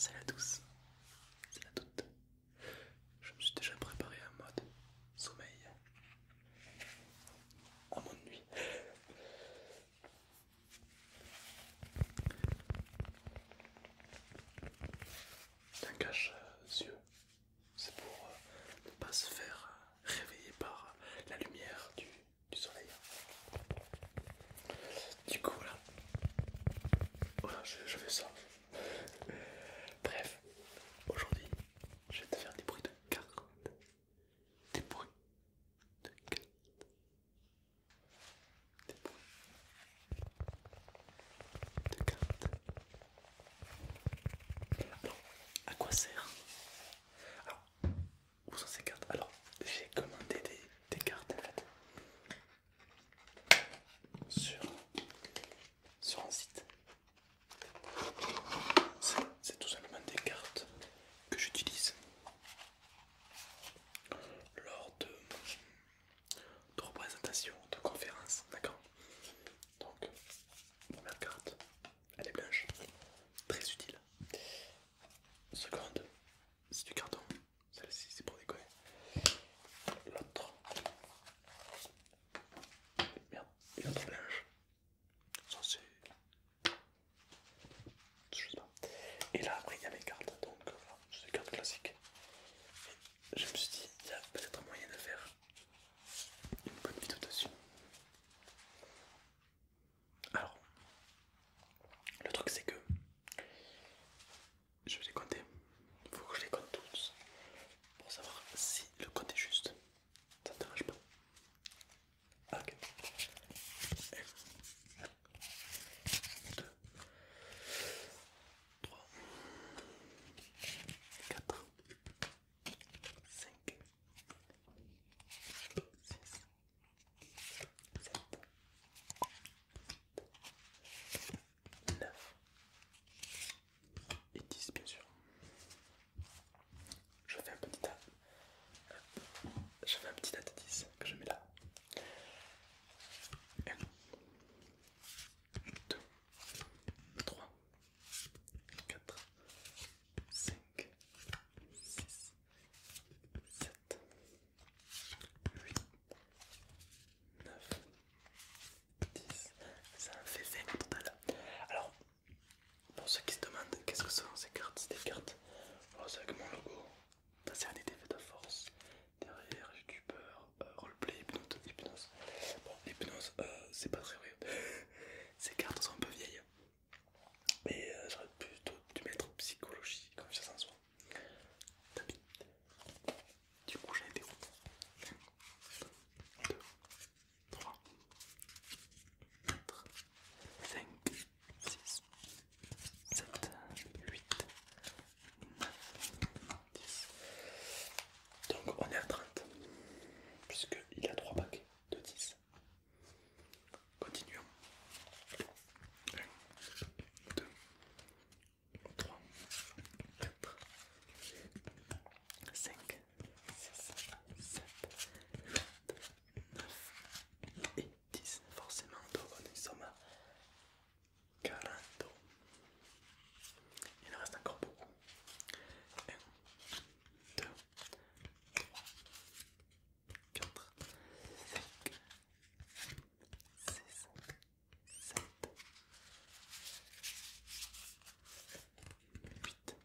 C'est la douce, c'est la toute. Je me suis déjà préparé en mode sommeil, en mode nuit. un cache-yeux, euh, c'est pour euh, ne pas se faire euh, réveiller par euh, la lumière du, soleil. Du coup, voilà. Voilà, je, je fais ça. Bref, aujourd'hui, je vais te faire des bruits de cartes. Des bruits de cartes. Des bruits de cartes. Alors, à quoi sert Alors, où sont ces cartes Alors, j'ai commandé des, des cartes en fait sur, sur un site. C'est tout simplement des cartes que j'utilise lors de de représentation, de conférence, d'accord Donc, première carte, elle est blanche, très utile. Seconde, c'est du carton, celle-ci c'est pour déconner. L'autre, merde, une autre blanche, ça c'est. Je sais pas. Et là, après, il y a mes cartes, donc voilà, c'est des cartes classiques je me suis dit, il y a peut-être un moyen de faire une bonne vidéo dessus. Alors, le truc c'est que je vais les compter, il faut que je les compte tous pour savoir si le compte est juste. Ça ne dérange pas. Ok. 1, 3, 4, 5, 6, 7, 9 et 10 bien sûr. Je fais un petit tas. Je fais un petit de 10 que je mets là. 2, 3, 4, 5, 6, 7, 8, 9, 10. Ça en fait 20 au total. Alors, pour ceux qui se demandent qu'est-ce que sont ces cartes, c'est des cartes. Alors, c'est avec mon logo. sert à des faits de force. Derrière, youtubeur, peur roleplay, hypnose, hypnose. Bon, hypnose, euh, c'est pas très vrai. Ces cartes sont un peu vieilles. Mais euh, j'aurais plutôt dû mettre psychologie, comme en soi. Tapis. Du coup, j'ai été où 1, 2, 3, 4, 5, 6, 7, 8, 10. Donc on est à 30, puisqu'il a 3 paquets de 10. Continuons. 1, 2, 3, 4, 5, 6, 7, 8, 9 et 10. Forcément, donc on est somme à 40. Il en reste encore beaucoup. 1, 2, 3, 4, 5, 6, 7, 8, 9, 10.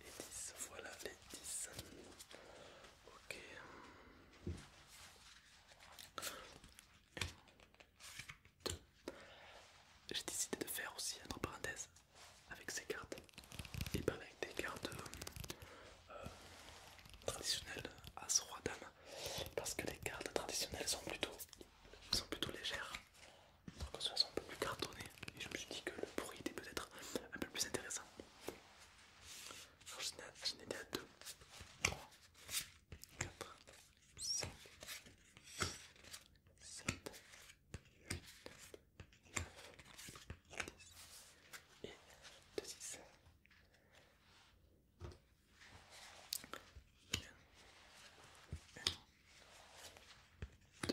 et 10, voilà les 10. Ok. J'ai décidé de faire aussi, entre parenthèses, avec ces cartes et pas avec des cartes euh, euh, traditionnelles à ce roi dame parce que les cartes traditionnelles sont plutôt, sont plutôt légères. Donc, elles sont un peu plus cartonnées et je me suis dit que le bruit était peut-être un peu plus intéressant. J'en étais à 2, 3, 4, 5, 7, 8, 9, 10 et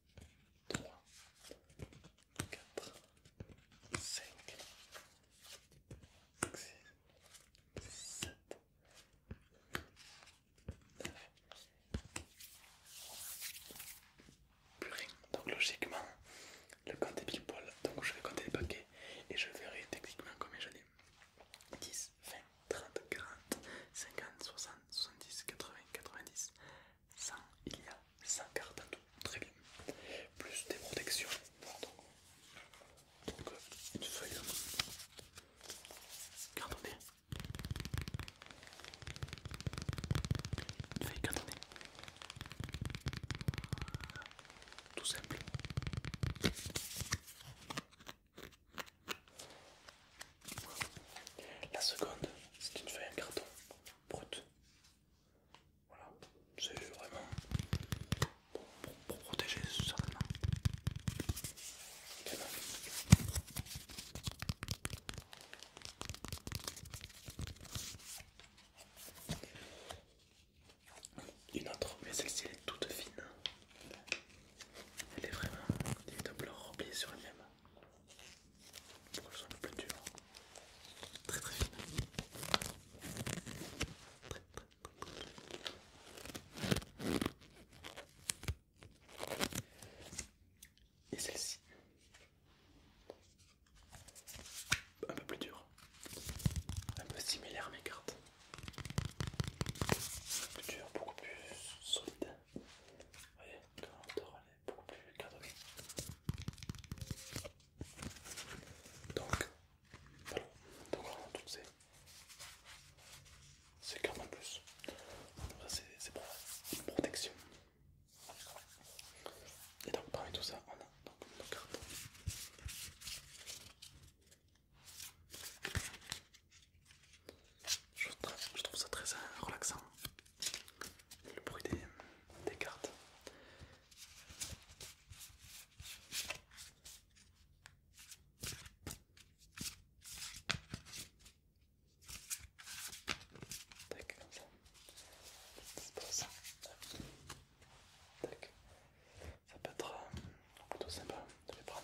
3, 4, 5, 6, 7, 9. plus rien. Donc logiquement, le compte est pile Donc je vais compter les paquets et je verrai techniquement combien j'en ai. 10, 20, 30, 40, 50, 60, 70, 80, 90, il y a 140 en tout, très bien. Plus des protections, voilà donc, euh, une feuille. Cardonnée. Une feuille cardonnée. Tout simple. La seconde, c'est une feuille en carton brute. Voilà, c'est vraiment pour, protéger certainement. Bah. Une autre, mais celle-ci est toute fine. Elle est vraiment d'une double repliée sur elle-même un peu plus dur Très très fine, Très très très Et celle-ci. Un peu plus dur. Un peu similaire à mes cartes. plus dur, beaucoup plus solide. Vous voyez, est beaucoup plus Donc, donc toutes ces. C'est quand plus. C'est pour protection. Et donc parmi tout ça, on a nos je trouve, ça très euh, relaxant, le bruit des, cartes. ça. peut être euh, plutôt sympa de les prendre.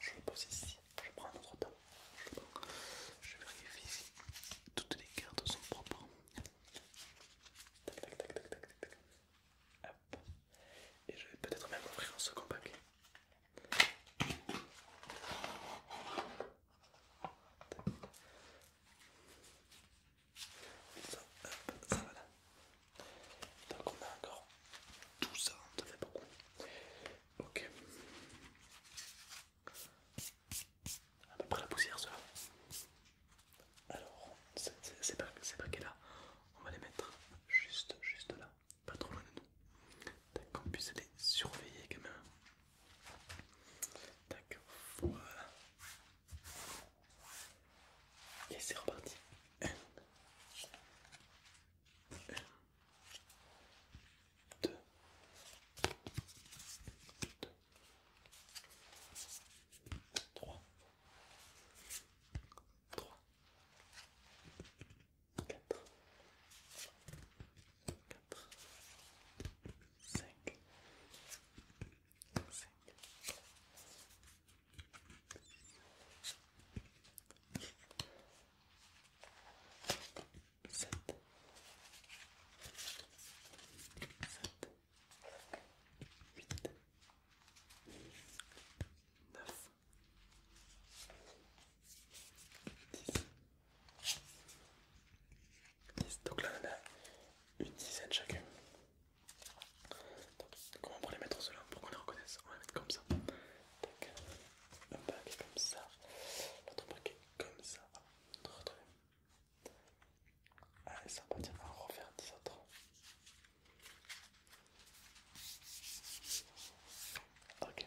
Je le pose ici, je prends un autre temps. Je vérifie si toutes les cartes sont propres. Tac, Et je vais peut-être même ouvrir en second paquet. ça va donc on a encore tout ça, hein, ça fait beaucoup. Ok. À peu près la poussière cela. Alors, c'est pas, pas qu'elle là. On va les mettre juste, juste là, pas trop loin de nous. Tac, qu'on puisse les surveiller quand même. Tac, voilà. Et c'est reparti. Un, deux, trois, quatre, cinq, sept, dix, Donc là, on a une dizaine comment on pourrait les mettre pour qu'on les reconnaisse On va les mettre comme ça. Un paquet comme ça. L'autre paquet comme ça. Allez, ça va on va refaire autres. Ok.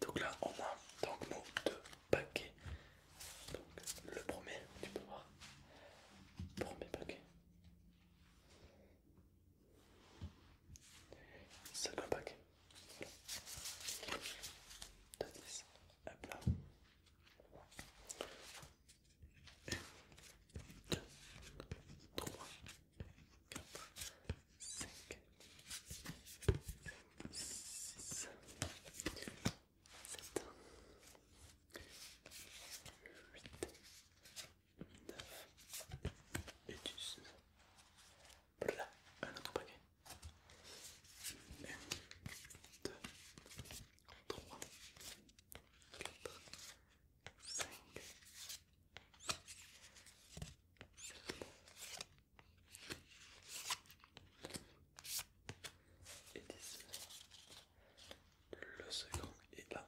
Donc là, on a donc nos deux paquets. Donc le premier, tu peux voir premier paquet. Second paquet. Un, deux, trois, quatre. 5, six, sept, huit, neuf, et un autre paquet. Un, deux, 3, 5, et d'ici, le second est là.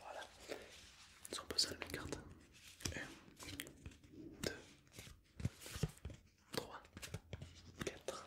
Voilà, ils ont posé les cartes. 1, 2, 3, 4,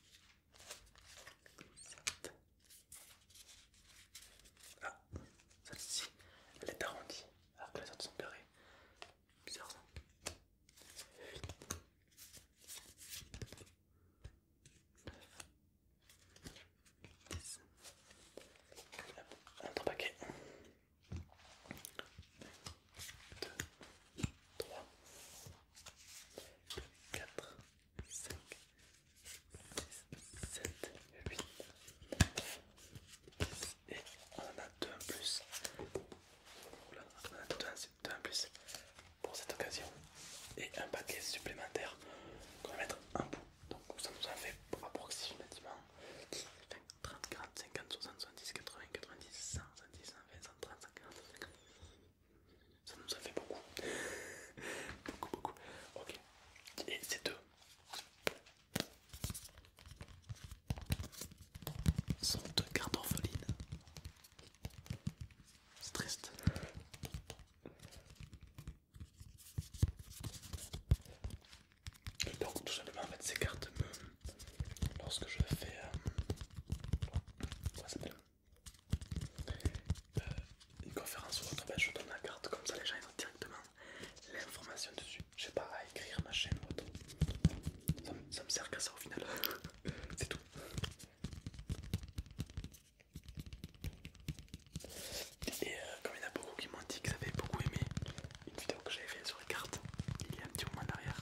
Ah, celle-ci, elle est arrondie, alors que les autres sont carrées. Un autre paquet. 4, 5, 6, 7, 8, 9, 10 et on en a 2 en plus. en plus pour cette occasion et un paquet supplémentaire qu'on va mettre en bout. Donc ça nous en fait approximativement 30, 40, 50, 60, 70, 80, 90, 100, 110, ça nous a fait beaucoup. beaucoup, beaucoup. Ok. Et ces deux. Sont deux cartes orphelines. C'est triste. Donc tout simplement en fait ces cartes me... Lorsque je fais euh, euh, une conférence ou autre, je donne la carte, comme ça les gens ils directement l'information dessus. Je sais pas à écrire ma chaîne ou autre. Ça, me sert qu'à ça au final. C'est tout. Et euh, comme il y en a beaucoup qui m'ont dit qu'ils avaient beaucoup aimé une vidéo que j'avais faite carte, il y a un petit moment en arrière,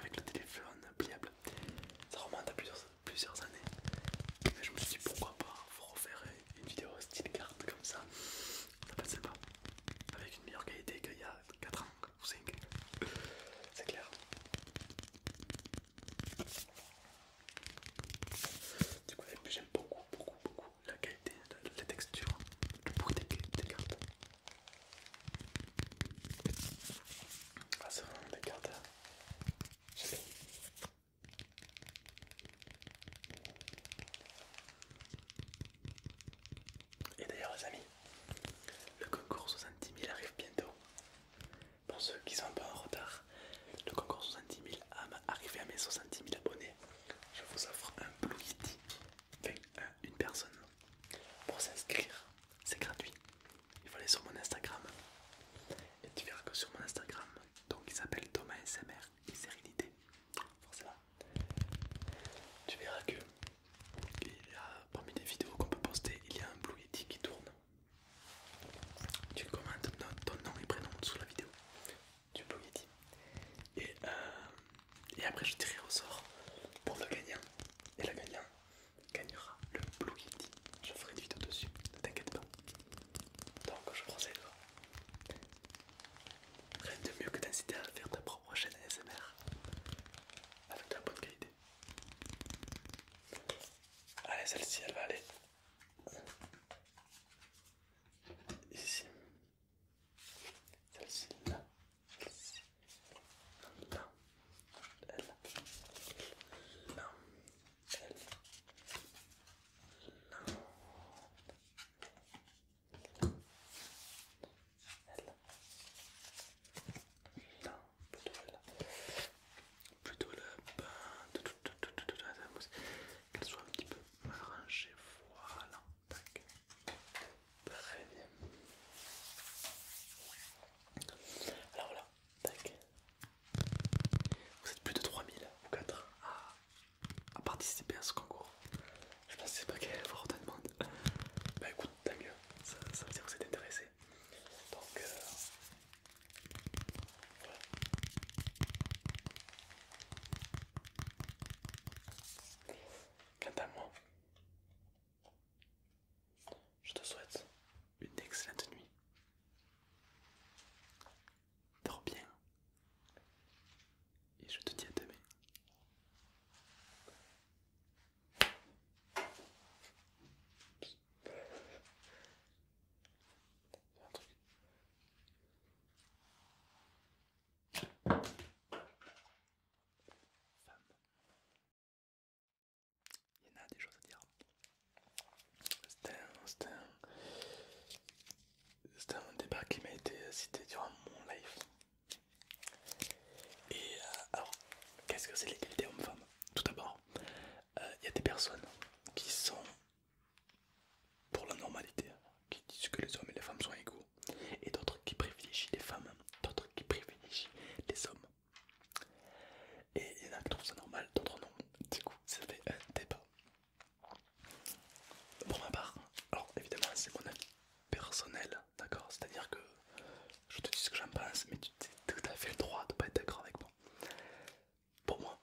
avec le téléphone pliable. Ça remonte à plusieurs, plusieurs années. Mais je me suis dit pourquoi pas vous refaire une vidéo style carte comme ça. Ça passait pas. Avec une meilleure qualité qu'il y a 4 ans ou 5. C'est clair. Du coup, j'aime beaucoup, beaucoup, beaucoup la qualité, la, texture, le des cartes. Ah, c'est vraiment des cartes. Et d'ailleurs, les amis, le concours 70 000 arrive bientôt. Pour ceux qui sont un peu en retard, le concours 70 000 arrive à mes 70 000 abonnés. Je vous offre un Blue Kitty, enfin une personne pour s'inscrire. C'est gratuit. Il faut aller sur mon Instagram. Et tu verras que sur mon Instagram, donc il s'appelle Thomas SMR et Sérénité. Tu verras que parmi les vidéos qu'on peut poster, il y a un Blue Yeti qui tourne. Tu commentes ton nom et prénom sous la vidéo du Blue Yeti et, euh, et après je tirerai au sort pour le gagnant et la gagnant gagnera le Blue Je ferai une vidéo dessus, ne t'inquiète pas. Donc je procède. Rien de mieux que d'inciter à faire ta propre chaîne ASMR avec de la bonne qualité. Allez, celle-ci elle va aller ici celle-ci là, elle, là, elle, là, plutôt là, qu'elle soit un petit peu Très bien. Alors voilà, tac. Vous êtes plus de 3000 ou 4 ah, à, participer à ce concours. Je pensais pas qu'il pas qu'à avoir autant de monde. Bah écoute, tant mieux, ça, veut dire que vous êtes intéressé. Donc euh, Quant à moi, je te souhaite une excellente nuit. Dors bien. Et je te dis à demain. Il y en a des choses à dire. c'est un, un débat qui m'a été cité durant mon live. Et euh, alors, qu'est-ce que c'est l'égalité homme-femme Tout d'abord, euh, il y a des personnes qui sont pour la normalité, hein, qui disent que les hommes et les femmes sont égaux, et d'autres qui privilégient les femmes, d'autres qui privilégient les hommes. Et il y en a qui trouvent ça normal, d'autres non. Du coup, ça fait un débat. Pour ma part, alors évidemment, c'est mon avis personnel, d'accord C'est-à-dire que je te dis ce que j'en pense, mais tu as tout à fait le droit de pas être d'accord avec moi. Pour moi,